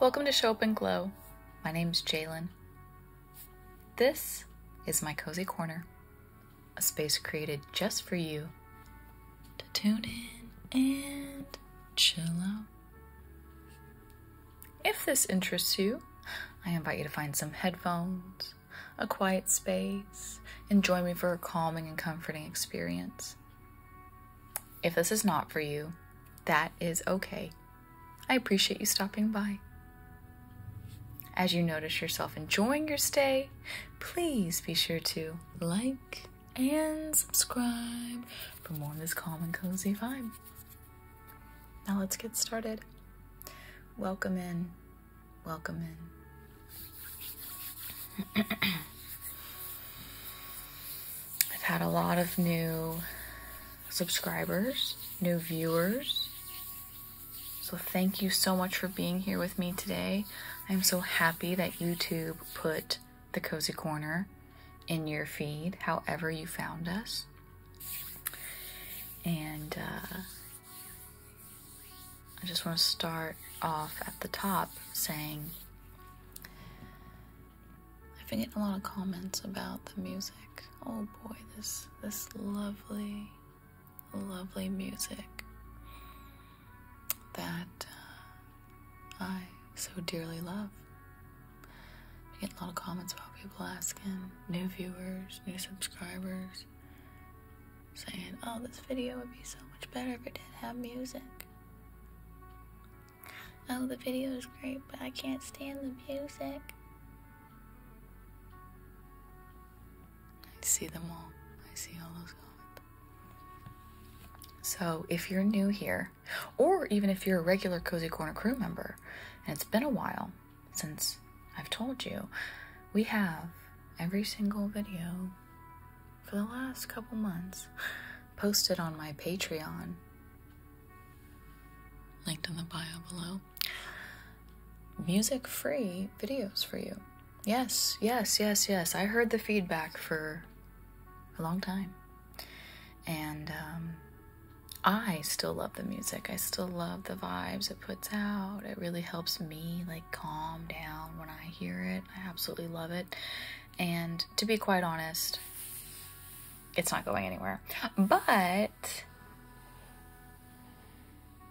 Welcome to Show Up and Glow. My name is Jalen. This is my cozy corner, a space created just for you to tune in and chill out. If this interests you, I invite you to find some headphones, a quiet space, and join me for a calming and comforting experience. If this is not for you, that is okay. I appreciate you stopping by. As you notice yourself enjoying your stay, please be sure to like and subscribe for more of this calm and cozy vibe. Now let's get started. Welcome in. Welcome in. I've had a lot of new subscribers, new viewers. So thank you so much for being here with me today. I'm so happy that YouTube put the Cozy Corner in your feed, however you found us. And uh, I just want to start off at the top saying I've been getting a lot of comments about the music. Oh boy, this this lovely, lovely music that uh, I so dearly love. I get a lot of comments about people asking, new viewers, new subscribers, saying, oh, this video would be so much better if it didn't have music. Oh, the video is great, but I can't stand the music. I see them all. I see all those comments. So, if you're new here, or even if you're a regular Cozy Corner crew member, and it's been a while since I've told you, we have every single video for the last couple months posted on my Patreon, linked in the bio below. Music free videos for you. Yes, yes, yes, yes. I heard the feedback for a long time. And um, I still love the music. I still love the vibes it puts out. It really helps me like calm down when I hear it. I absolutely love it. And to be quite honest, it's not going anywhere. But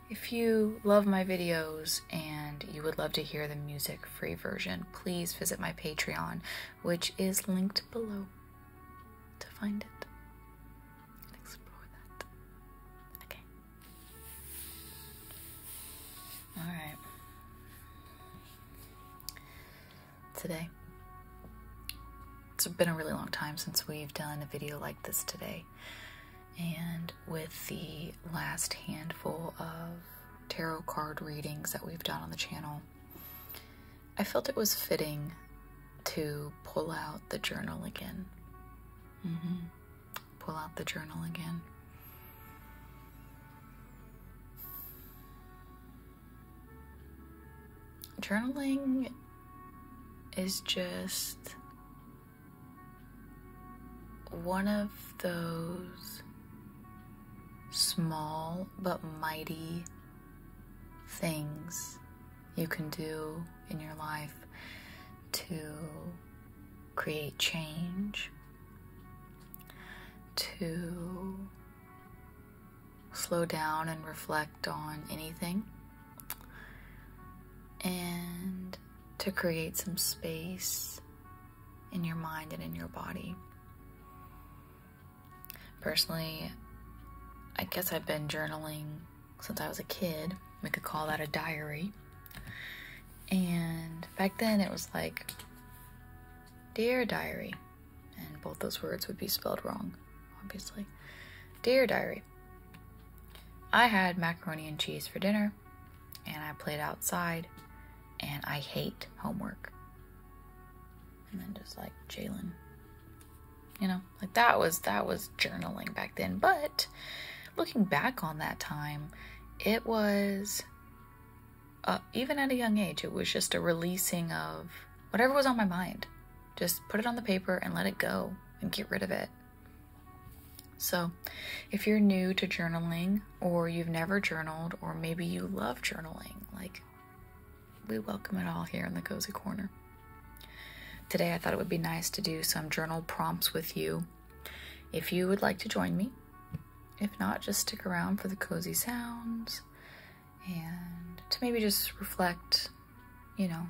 if you love my videos and you would love to hear the music free version, please visit my Patreon which is linked below to find it explore that. Okay. Alright. Today. It's been a really long time since we've done a video like this today. And with the last handful of tarot card readings that we've done on the channel, I felt it was fitting to pull out the journal again. Mm-hmm. Pull out the journal again. Journaling is just one of those small but mighty things you can do in your life to create change, to slow down and reflect on anything, and to create some space in your mind and in your body. Personally, I guess I've been journaling since I was a kid. We could call that a diary. And back then it was like, Dear Diary. And both those words would be spelled wrong, obviously. Dear Diary. I had macaroni and cheese for dinner, and I played outside, and I hate homework. And then just like Jalen, you know, like that was that was journaling back then. But looking back on that time, it was uh, even at a young age, it was just a releasing of whatever was on my mind. Just put it on the paper and let it go and get rid of it. So, if you're new to journaling, or you've never journaled or maybe you love journaling, like we welcome it all here in the cozy corner. Today I thought it would be nice to do some journal prompts with you. If you would like to join me, if not, just stick around for the cozy sounds and to maybe just reflect, you know,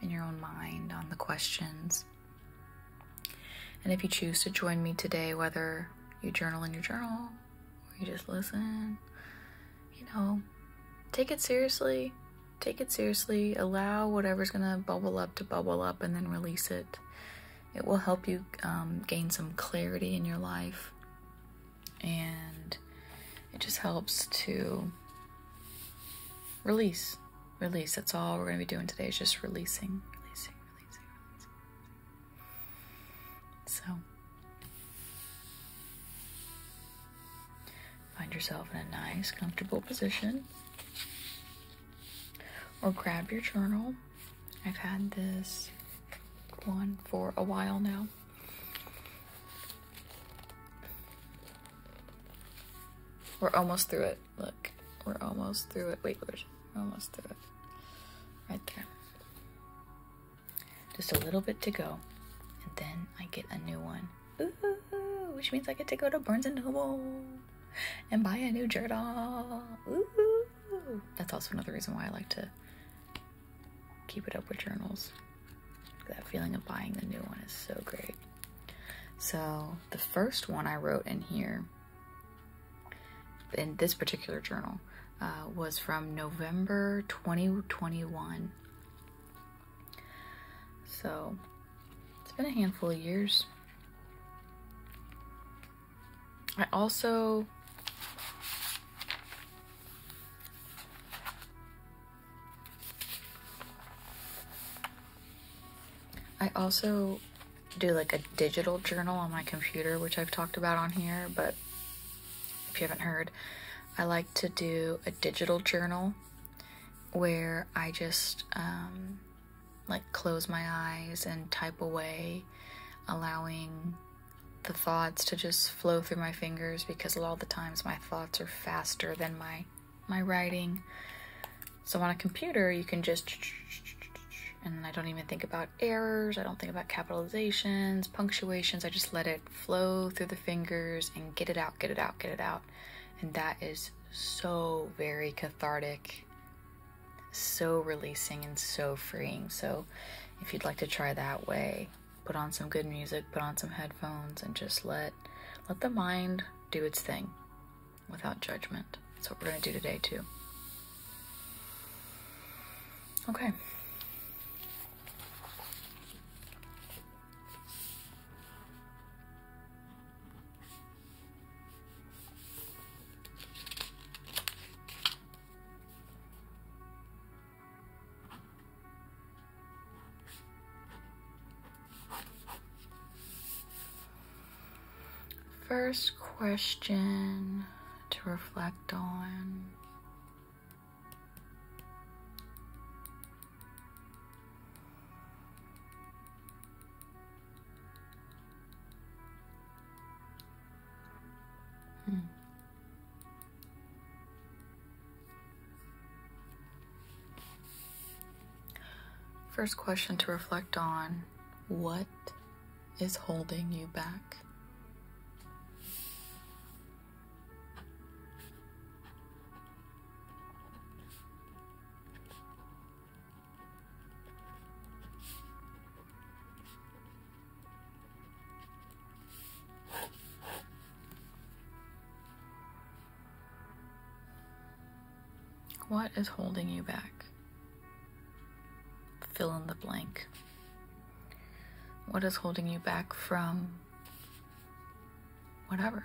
in your own mind on the questions. And if you choose to join me today, whether you journal in your journal or you just listen, you know, take it seriously. Take it seriously. Allow whatever's going to bubble up to bubble up and then release it. It will help you um, gain some clarity in your life. And it just helps to release. Release. That's all we're going to be doing today is just releasing, releasing, so, find yourself in a nice, comfortable position. Or grab your journal. I've had this one for a while now. We're almost through it. Look, we're almost through it. Wait, where's we're almost through it? Right there. Just a little bit to go, and then I get a new one. which means I get to go to Barnes and Noble and buy a new journal. that's also another reason why I like to keep it up with journals. That feeling of buying the new one is so great. So the first one I wrote in here in this particular journal uh, was from November 2021. So it's been a handful of years. I also I also do like a digital journal on my computer, which I've talked about on here, but if you haven't heard, I like to do a digital journal where I just um, like close my eyes and type away, allowing the thoughts to just flow through my fingers because a lot of the times my thoughts are faster than my my writing. So on a computer, you can just, and I don't even think about errors, I don't think about capitalizations, punctuations, I just let it flow through the fingers and get it out, get it out, get it out. And that is so very cathartic, so releasing, and so freeing. So if you'd like to try that way, put on some good music, put on some headphones, and just let, let the mind do its thing without judgment. That's what we're going to do today, too. Okay. First question to reflect on. Hmm. First question to reflect on what is holding you back? What is holding you back? Fill in the blank. What is holding you back from whatever?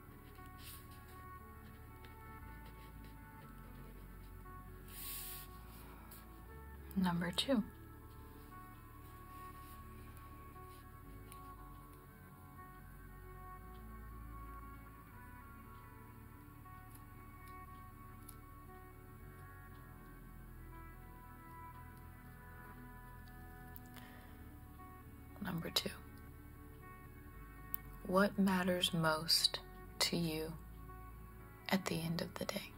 Number two. Number two, what matters most to you at the end of the day?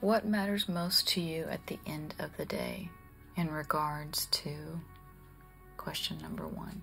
What matters most to you at the end of the day in regards to question number one?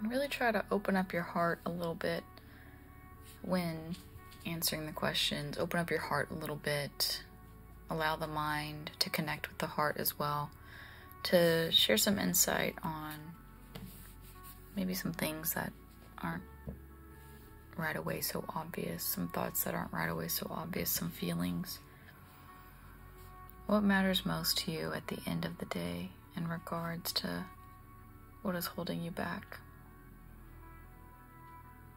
And really try to open up your heart a little bit when answering the questions. Open up your heart a little bit allow the mind to connect with the heart as well to share some insight on maybe some things that aren't right away so obvious, some thoughts that aren't right away so obvious, some feelings. What matters most to you at the end of the day in regards to what is holding you back?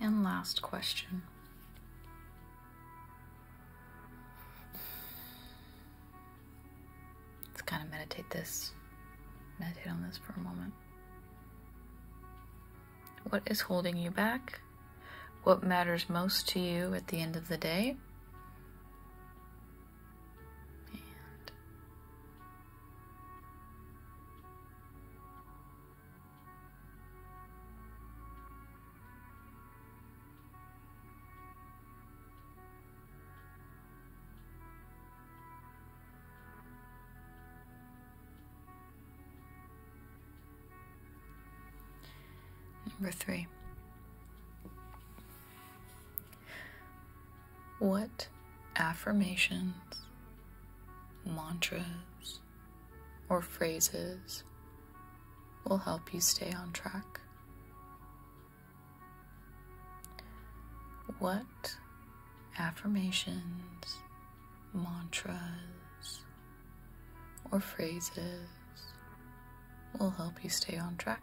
And last question. Let's kind of meditate this, meditate on this for a moment. What is holding you back? What matters most to you at the end of the day? Number three. What affirmations, mantras, or phrases will help you stay on track? What affirmations, mantras, or phrases will help you stay on track?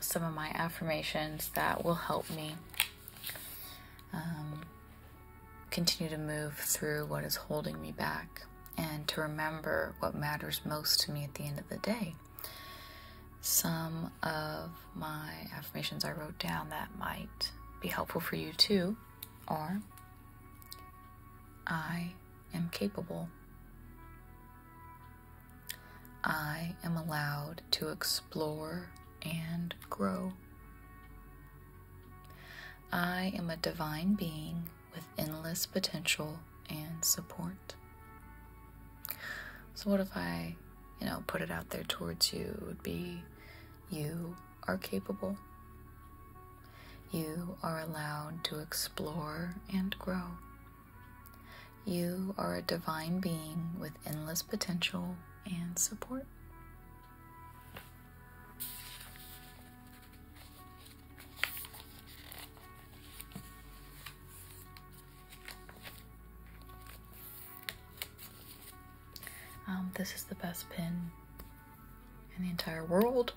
some of my affirmations that will help me um, continue to move through what is holding me back and to remember what matters most to me at the end of the day. Some of my affirmations I wrote down that might be helpful for you too are I am capable. I am allowed to explore and grow. I am a divine being with endless potential and support. So, what if I, you know, put it out there towards you? would be you are capable. You are allowed to explore and grow. You are a divine being with endless potential and support. Um, this is the best pin in the entire world.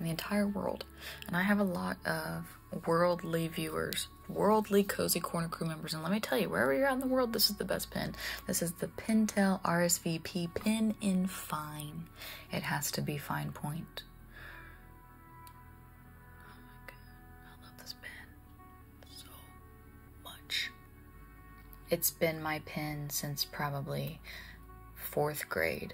In the entire world. And I have a lot of worldly viewers worldly cozy corner crew members and let me tell you wherever you're in the world this is the best pin this is the pintel rsvp pin in fine it has to be fine point oh i love this pin so much it's been my pin since probably fourth grade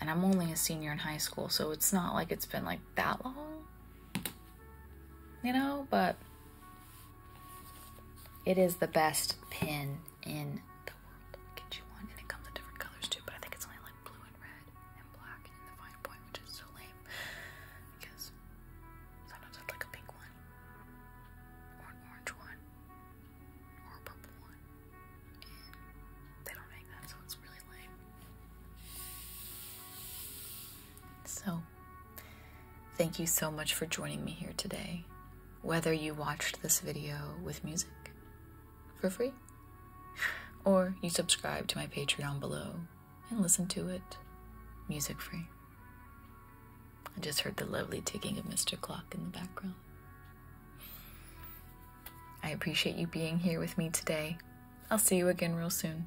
and I'm only a senior in high school, so it's not like it's been like that long, you know, but it is the best pin in the world. Get you one, and it comes in different colors too, but I think it's only like blue and red and black in the fine point, which is so lame because sometimes I'd like a pink one or an orange one or a purple one, they don't make that, so it's really lame. So, thank you so much for joining me here today, whether you watched this video with music for free or you subscribe to my Patreon below and listen to it music free. I just heard the lovely ticking of Mr. Clock in the background. I appreciate you being here with me today. I'll see you again real soon.